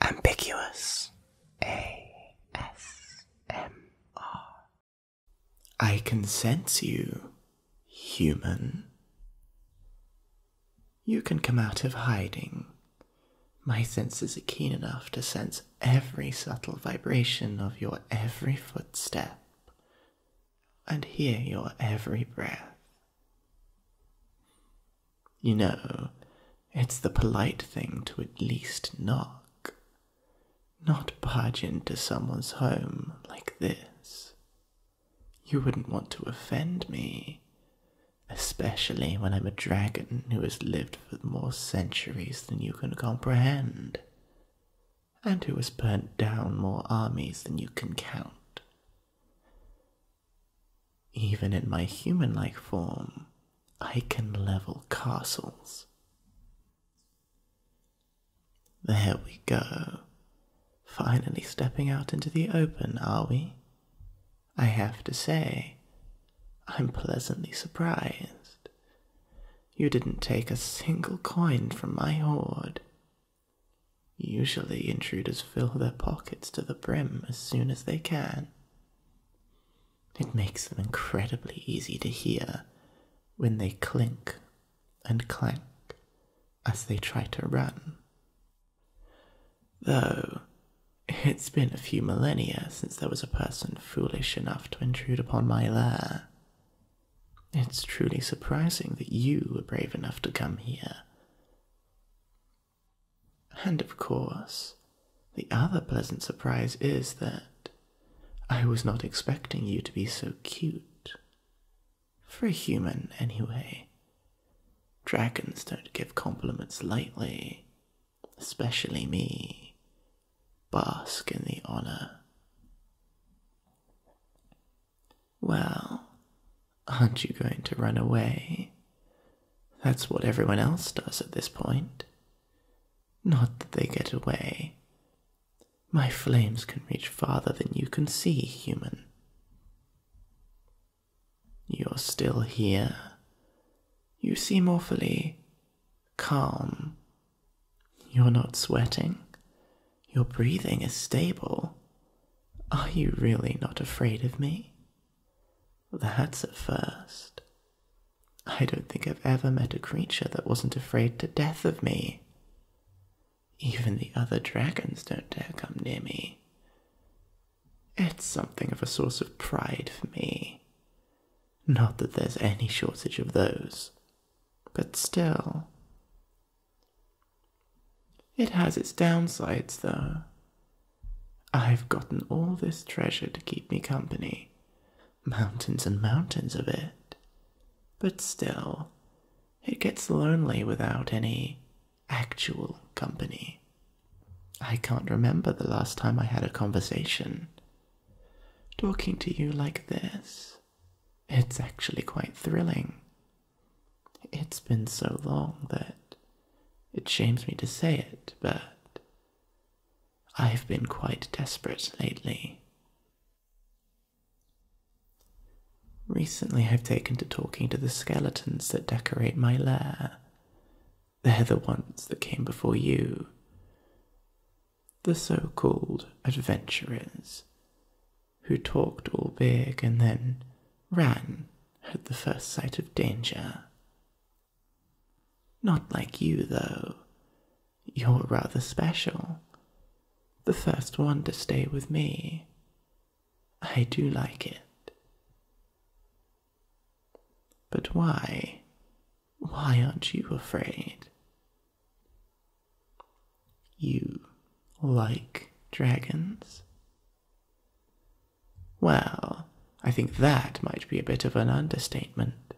Ambiguous A S M R. I can sense you, human. You can come out of hiding. My senses are keen enough to sense every subtle vibration of your every footstep and hear your every breath. You know, it's the polite thing to at least knock, not barge into someone's home like this. You wouldn't want to offend me, especially when I'm a dragon who has lived for more centuries than you can comprehend, and who has burnt down more armies than you can count. Even in my human like form, I can level castles. There we go. Finally stepping out into the open, are we? I have to say, I'm pleasantly surprised. You didn't take a single coin from my hoard. Usually, intruders fill their pockets to the brim as soon as they can. It makes them incredibly easy to hear when they clink and clank as they try to run. Though, it's been a few millennia since there was a person foolish enough to intrude upon my lair. It's truly surprising that you were brave enough to come here. And of course, the other pleasant surprise is that I was not expecting you to be so cute. For a human, anyway. Dragons don't give compliments lightly, especially me. Bask in the honor. Well, aren't you going to run away? That's what everyone else does at this point. Not that they get away. My flames can reach farther than you can see, human. You're still here. You seem awfully calm. You're not sweating. Your breathing is stable. Are you really not afraid of me? That's a first. I don't think I've ever met a creature that wasn't afraid to death of me. Even the other dragons don't dare come near me. It's something of a source of pride for me. Not that there's any shortage of those, but still, it has its downsides, though. I've gotten all this treasure to keep me company, mountains and mountains of it. But still, it gets lonely without any actual company. I can't remember the last time I had a conversation. Talking to you like this, it's actually quite thrilling it's been so long that it shames me to say it, but I've been quite desperate lately. Recently, I've taken to talking to the skeletons that decorate my lair. They're the ones that came before you. The so called adventurers who talked all big and then ran at the first sight of danger. Not like you, though. You're rather special. The first one to stay with me. I do like it. But why? Why aren't you afraid? You like dragons? Well, I think that might be a bit of an understatement.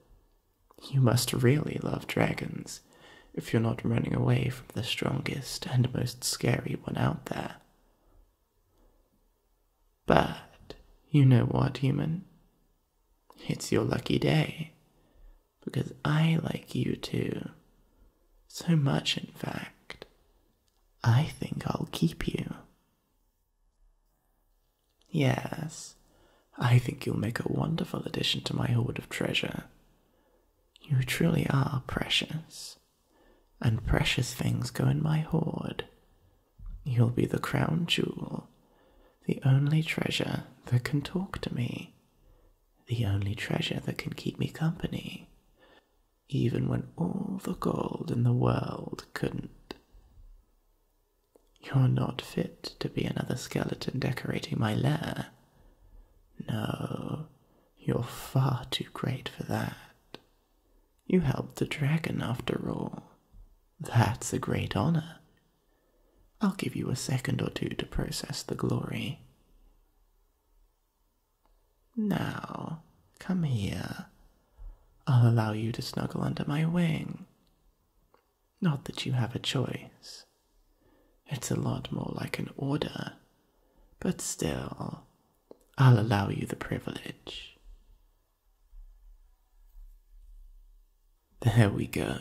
You must really love dragons if you're not running away from the strongest and most scary one out there. But you know what, human? It's your lucky day because I like you too. So much, in fact. I think I'll keep you. Yes, I think you'll make a wonderful addition to my hoard of treasure. You truly are precious, and precious things go in my hoard. You'll be the crown jewel, the only treasure that can talk to me, the only treasure that can keep me company, even when all the gold in the world couldn't. You're not fit to be another skeleton decorating my lair. No, you're far too great for that. You helped the dragon, after all. That's a great honor. I'll give you a second or two to process the glory. Now, come here. I'll allow you to snuggle under my wing. Not that you have a choice. It's a lot more like an order, but still, I'll allow you the privilege. There we go.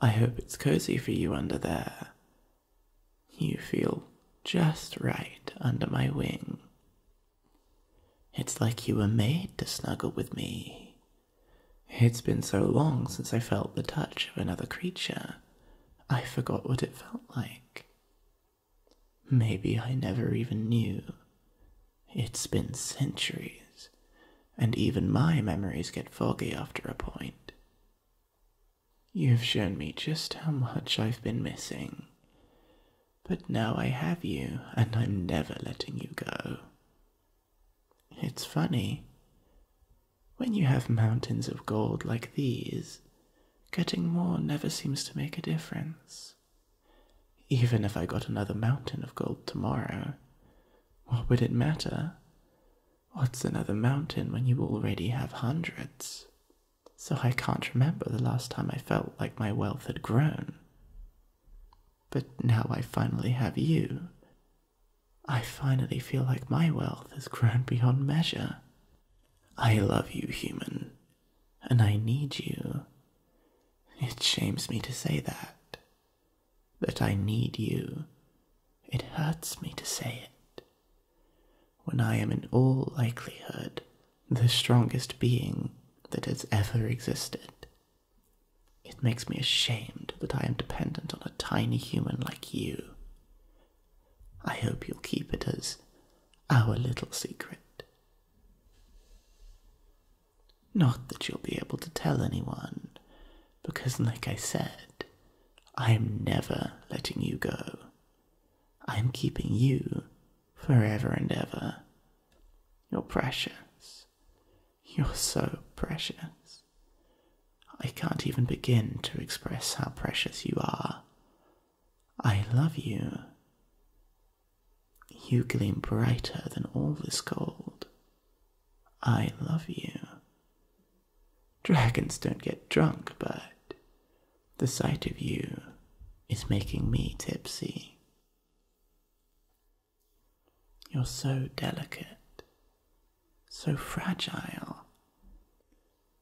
I hope it's cozy for you under there, you feel just right under my wing. It's like you were made to snuggle with me. It's been so long since I felt the touch of another creature, I forgot what it felt like. Maybe I never even knew. It's been centuries, and even my memories get foggy after a point. You have shown me just how much I've been missing. But now I have you, and I'm never letting you go. It's funny. When you have mountains of gold like these, getting more never seems to make a difference. Even if I got another mountain of gold tomorrow, what would it matter? What's another mountain when you already have hundreds? So I can't remember the last time I felt like my wealth had grown. But now I finally have you. I finally feel like my wealth has grown beyond measure. I love you, human, and I need you. It shames me to say that, that I need you. It hurts me to say it. When I am in all likelihood the strongest being that has ever existed, it makes me ashamed that I am dependent on a tiny human like you. I hope you'll keep it as our little secret. Not that you'll be able to tell anyone, because, like I said, I am never letting you go. I am keeping you forever and ever. You're precious. You're so precious. I can't even begin to express how precious you are. I love you. You gleam brighter than all this gold. I love you. Dragons don't get drunk, but the sight of you is making me tipsy. You're so delicate, so fragile.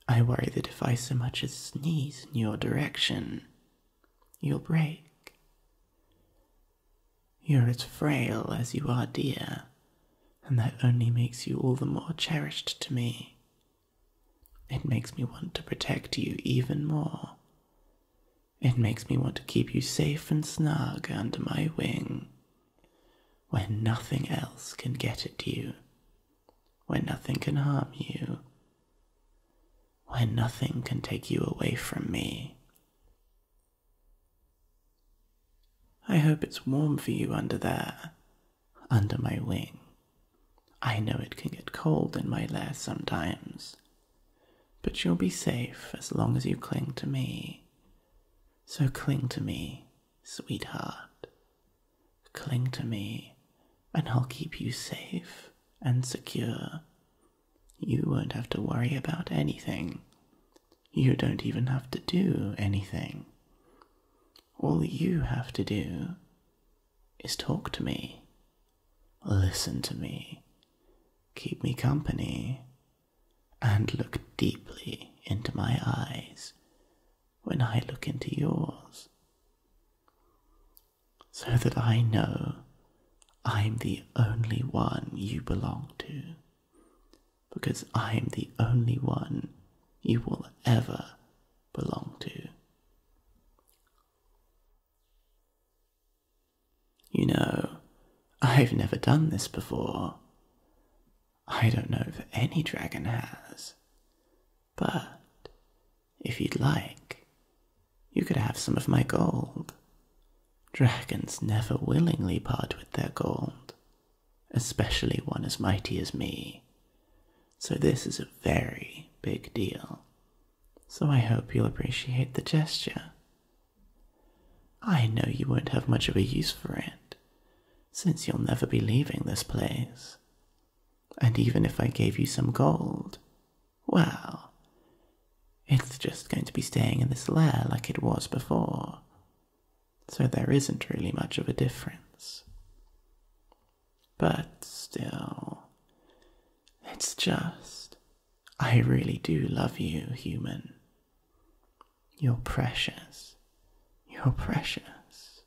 I worry that if I so much as sneeze in your direction, you'll break. You're as frail as you are dear, and that only makes you all the more cherished to me. It makes me want to protect you even more. It makes me want to keep you safe and snug under my wing, where nothing else can get at you, where nothing can harm you, where nothing can take you away from me. I hope it's warm for you under there, under my wing. I know it can get cold in my lair sometimes, but you'll be safe as long as you cling to me. So cling to me, sweetheart. Cling to me, and I'll keep you safe and secure you won't have to worry about anything. You don't even have to do anything. All you have to do is talk to me, listen to me, keep me company, and look deeply into my eyes when I look into yours, so that I know I'm the only one you belong to, because I'm the only one you will ever belong to. You know, I've never done this before. I don't know if any dragon has, but if you'd like, you could have some of my gold. Dragons never willingly part with their gold, especially one as mighty as me. So this is a very big deal. So I hope you'll appreciate the gesture. I know you won't have much of a use for it, since you'll never be leaving this place. And even if I gave you some gold, well, it's just going to be staying in this lair like it was before, so there isn't really much of a difference. But still, it's just. I really do love you, human. You're precious. You're precious.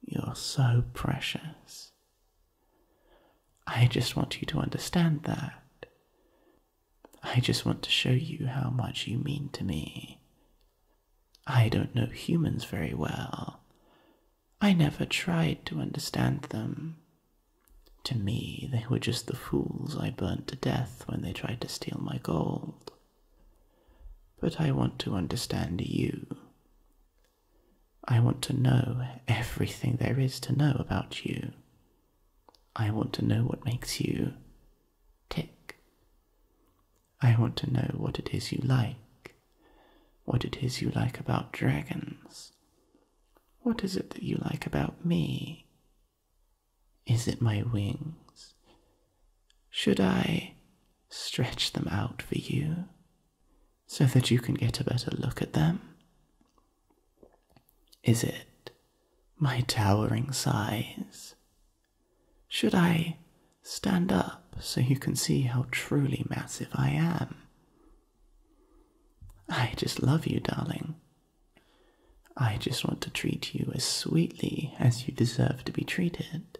You're so precious. I just want you to understand that. I just want to show you how much you mean to me. I don't know humans very well. I never tried to understand them. To me, they were just the fools I burnt to death when they tried to steal my gold. But I want to understand you. I want to know everything there is to know about you. I want to know what makes you tick. I want to know what it is you like, what it is you like about dragons. What is it that you like about me? Is it my wings? Should I stretch them out for you so that you can get a better look at them? Is it my towering size? Should I stand up so you can see how truly massive I am? I just love you, darling. I just want to treat you as sweetly as you deserve to be treated.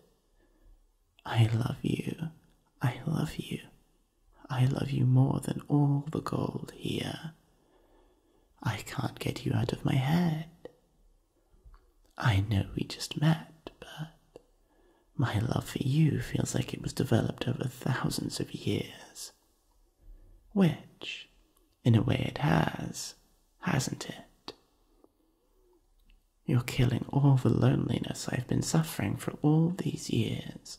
I love you. I love you. I love you more than all the gold here. I can't get you out of my head. I know we just met, but my love for you feels like it was developed over thousands of years. Which, in a way, it has, hasn't it? You're killing all the loneliness I've been suffering for all these years.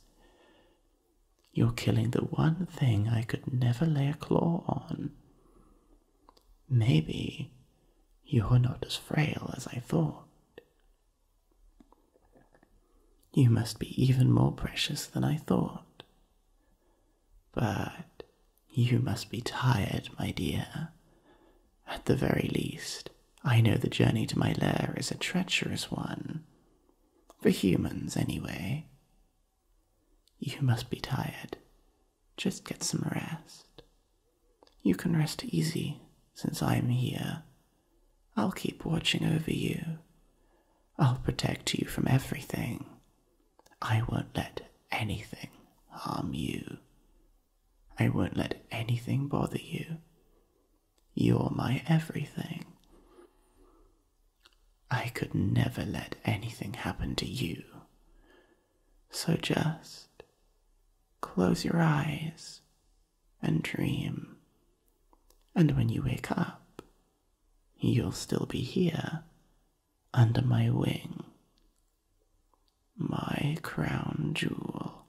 You're killing the one thing I could never lay a claw on. Maybe you're not as frail as I thought. You must be even more precious than I thought. But you must be tired, my dear. At the very least, I know the journey to my lair is a treacherous one, for humans, anyway. You must be tired. Just get some rest. You can rest easy since I'm here. I'll keep watching over you. I'll protect you from everything. I won't let anything harm you. I won't let anything bother you. You're my everything. I could never let anything happen to you. So just close your eyes and dream. And when you wake up, you'll still be here under my wing. My crown jewel.